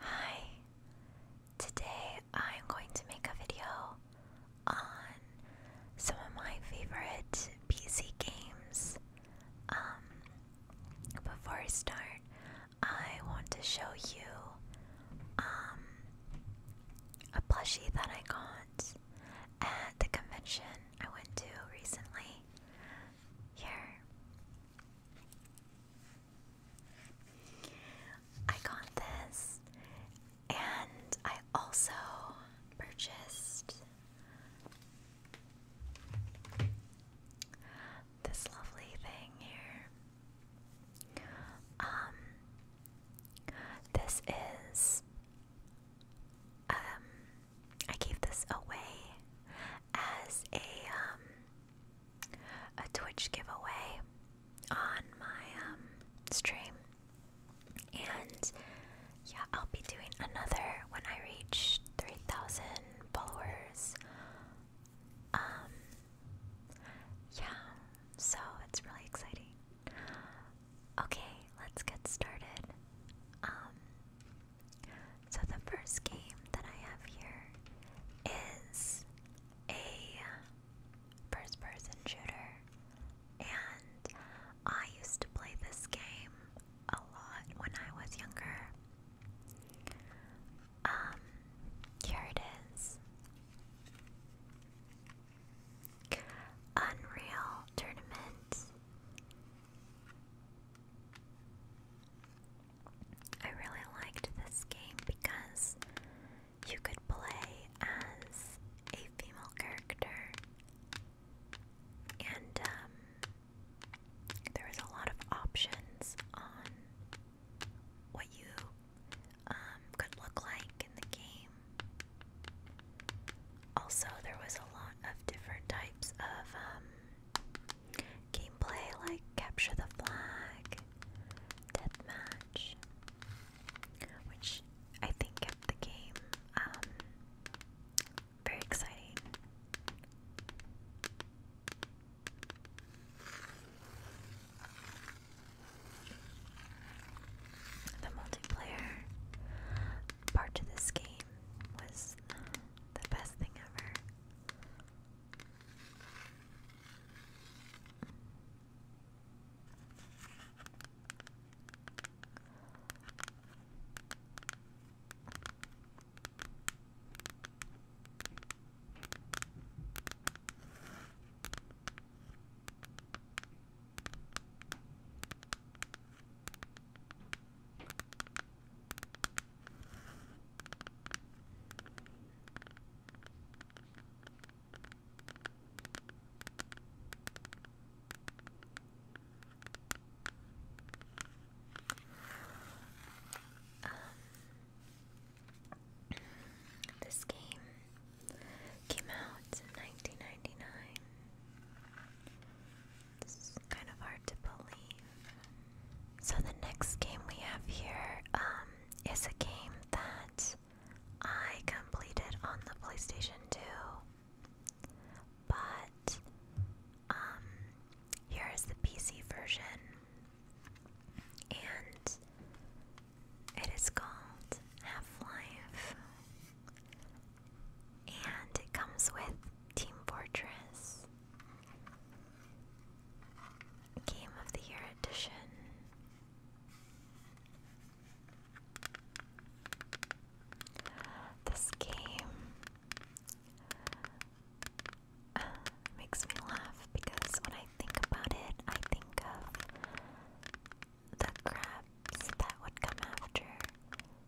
Hi, today I'm going to make a video on some of my favorite PC games. Um, before I start, I want to show you um, a plushie that I got at the convention I went to recently. Here. I got this, and I also purchased this lovely thing here. Um, this is, um, I gave this away as a um, a Twitch giveaway on my um, stream, and yeah, I'll be doing another when I reach three thousand followers. Um, yeah, so it's really exciting. Okay, let's get started. Um, so the first game that I have here is a first person shooter and I used to play this game a lot when I was younger. Um here it is. Unreal Tournament. I really liked this game because you could play as a female character, and um, there was a lot of options on what you um, could look like in the game. Also, there was a lot of different types of um, Gameplay like capture the flag, deathmatch, which I think kept the game um, very exciting. The multiplayer part to this game was the best thing ever. Um, this game came out in 1999. It's kind of hard to believe. So the next game we have here um, is a game that I completed on the PlayStation 2, but um, here is the PC version, and it is called Half Life. And it comes with Team Fortress, Game of the Year Edition. This game uh, makes me laugh because when I think about it, I think of the crabs that would come after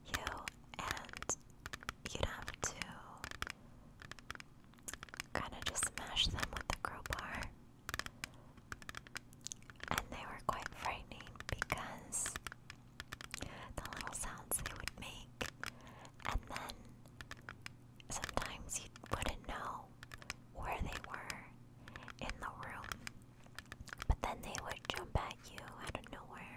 you and you'd have to kind of just smash them with the crowbar. And they were quite frightening because the little sounds they would make, and then sometimes you wouldn't know where they were in the room, but then they would jump at you out of nowhere.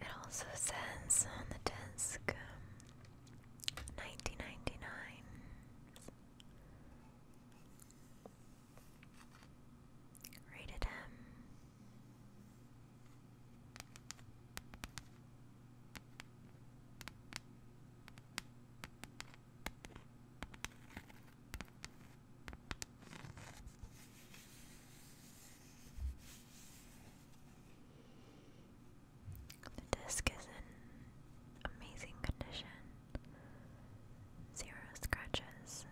It also says on the desk 1999. Um, Rated M. The disc is in amazing condition. Zero scratches.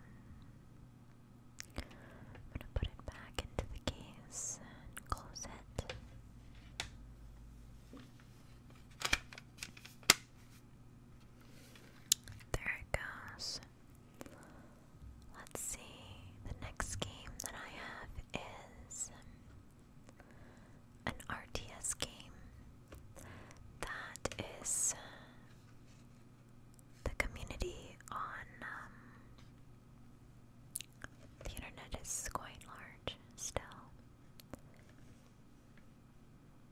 I'm going to put it back into the case and close it. There it goes. Let's see. The next game that I have is an RTS game that is uh, the community on um, the internet is quite large still.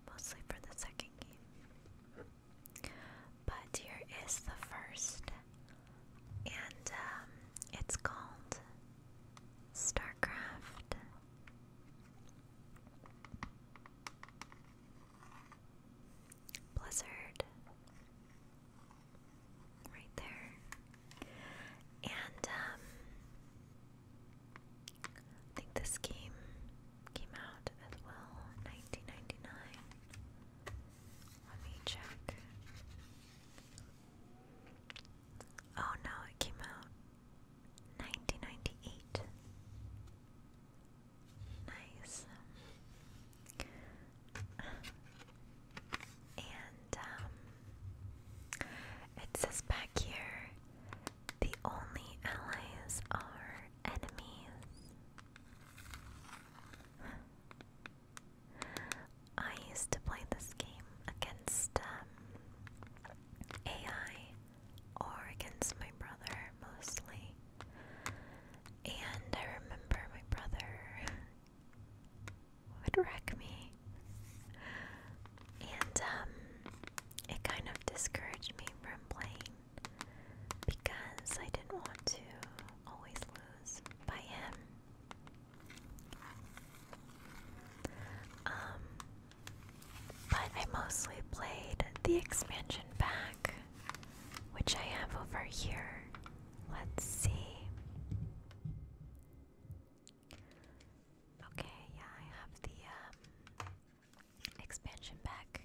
Mostly for the second game. But here is the first, and um, it's called StarCraft. Blizzard. Right there. And um I think this game came out as well, 1999. Let me check. Oh no, it came out 1998. Nice. And um, it says back here the only allies are enemies. I used to play this game against um, AI or against my brother mostly. And I remember my brother would wreck me. And um, it kind of discouraged me from playing because I didn't want to always lose by him. Um, but I mostly played the expansion pack, which I have over here. Let's see. Okay, yeah, I have the um, expansion pack.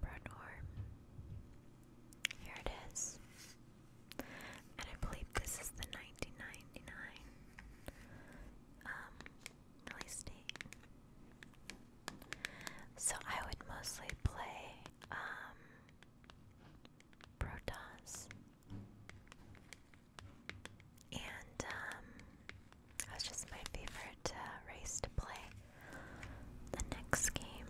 Burn Here it is. And I believe this is the 1999 um, release date. So I would mostly play um And um just my favorite uh, race to play. The next game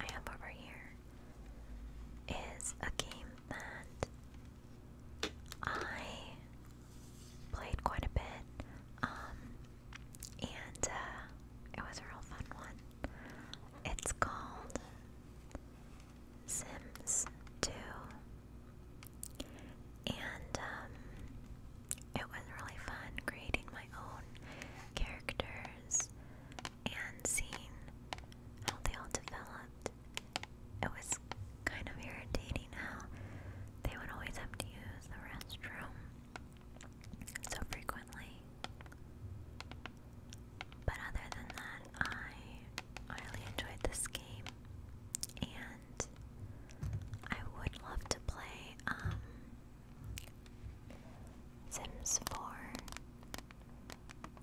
I have over here is a game that I played quite a bit. Um, and uh, it was a real fun one. It's called Sims 2, and um, it was really fun creating my own characters and seeing how they all developed. It was kind of irritating how they would always have to use the restroom so frequently. But other than that, I, really enjoyed this game, and I would love to play um, Sims 4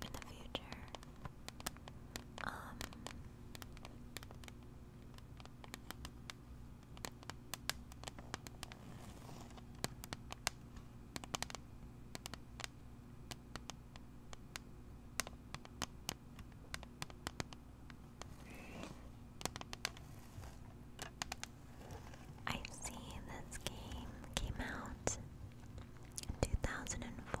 in the future. Um, I see this game came out in two thousand and four.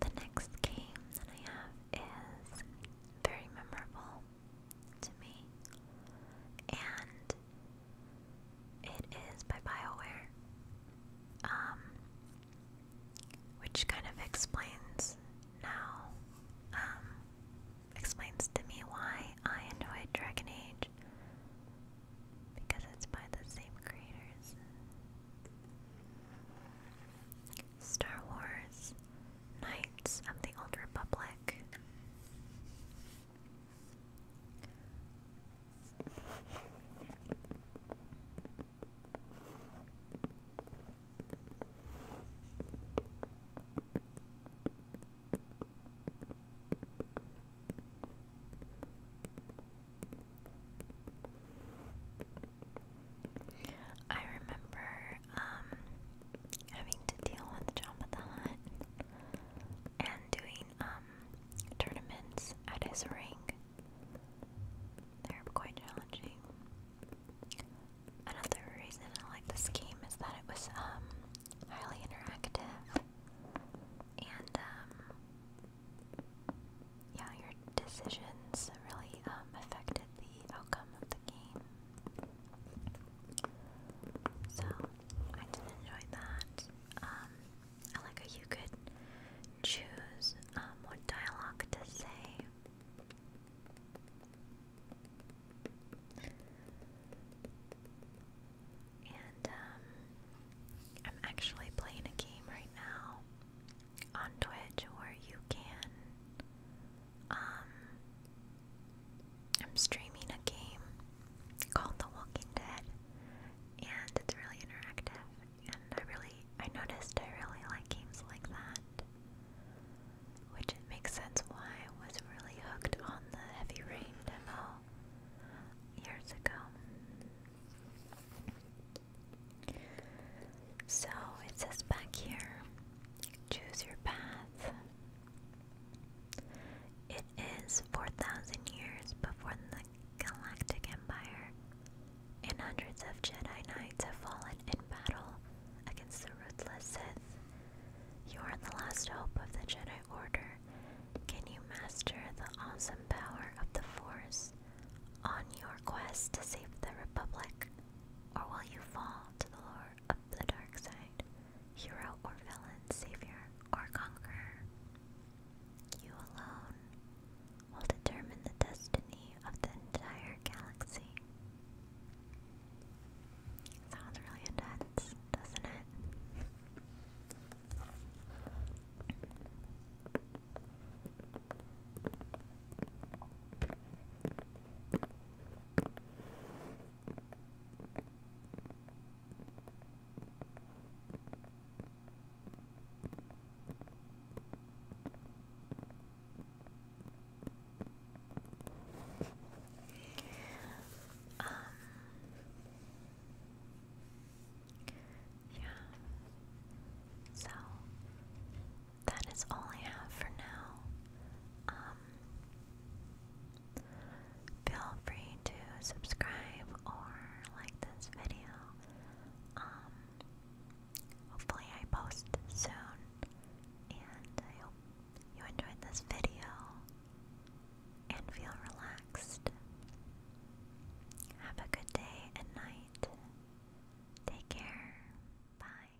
The next game that I have is very memorable to me. And it is by BioWare. Um which kind of explains now um explains to me why I enjoyed Dragon Age because it's by the same creators. Star Wars Knights of the Old Republic. I remember um, having to deal with Jabba the Hutt and doing um, tournaments at his ring. They're quite challenging. Another reason I like this game is that it was um, highly interactive and um, yeah, your decisions really affected the outcome of the game. So I did enjoy that. Um, I you could choose um, what dialogue to say. And um, I'm actually playing a game right now on Twitch where you can um, I'm streaming a game called The Walking Dead, and it's really interactive. And I really, I noticed I really like games like that, which makes sense why I was really hooked on the Heavy Rain demo years ago. So it says back here choose your path. It is 4,000 years before the Galactic Empire, and hundreds of Jedi Knights have fallen in battle against the ruthless Sith. You are the last hope of the Jedi Order. Can you master the awesome power of the Force on your quest to save the Republic, or will you fall to the lure of the dark side? hero or villain, savior or conqueror. You alone will determine the destiny of the entire galaxy. Sounds really intense, doesn't it? Um, yeah. So that is all I have for now. Um, feel free to subscribe or like this video. Um, hopefully I post soon, and I hope you enjoyed this video and feel relaxed. Have a good day and night. Take care. Bye.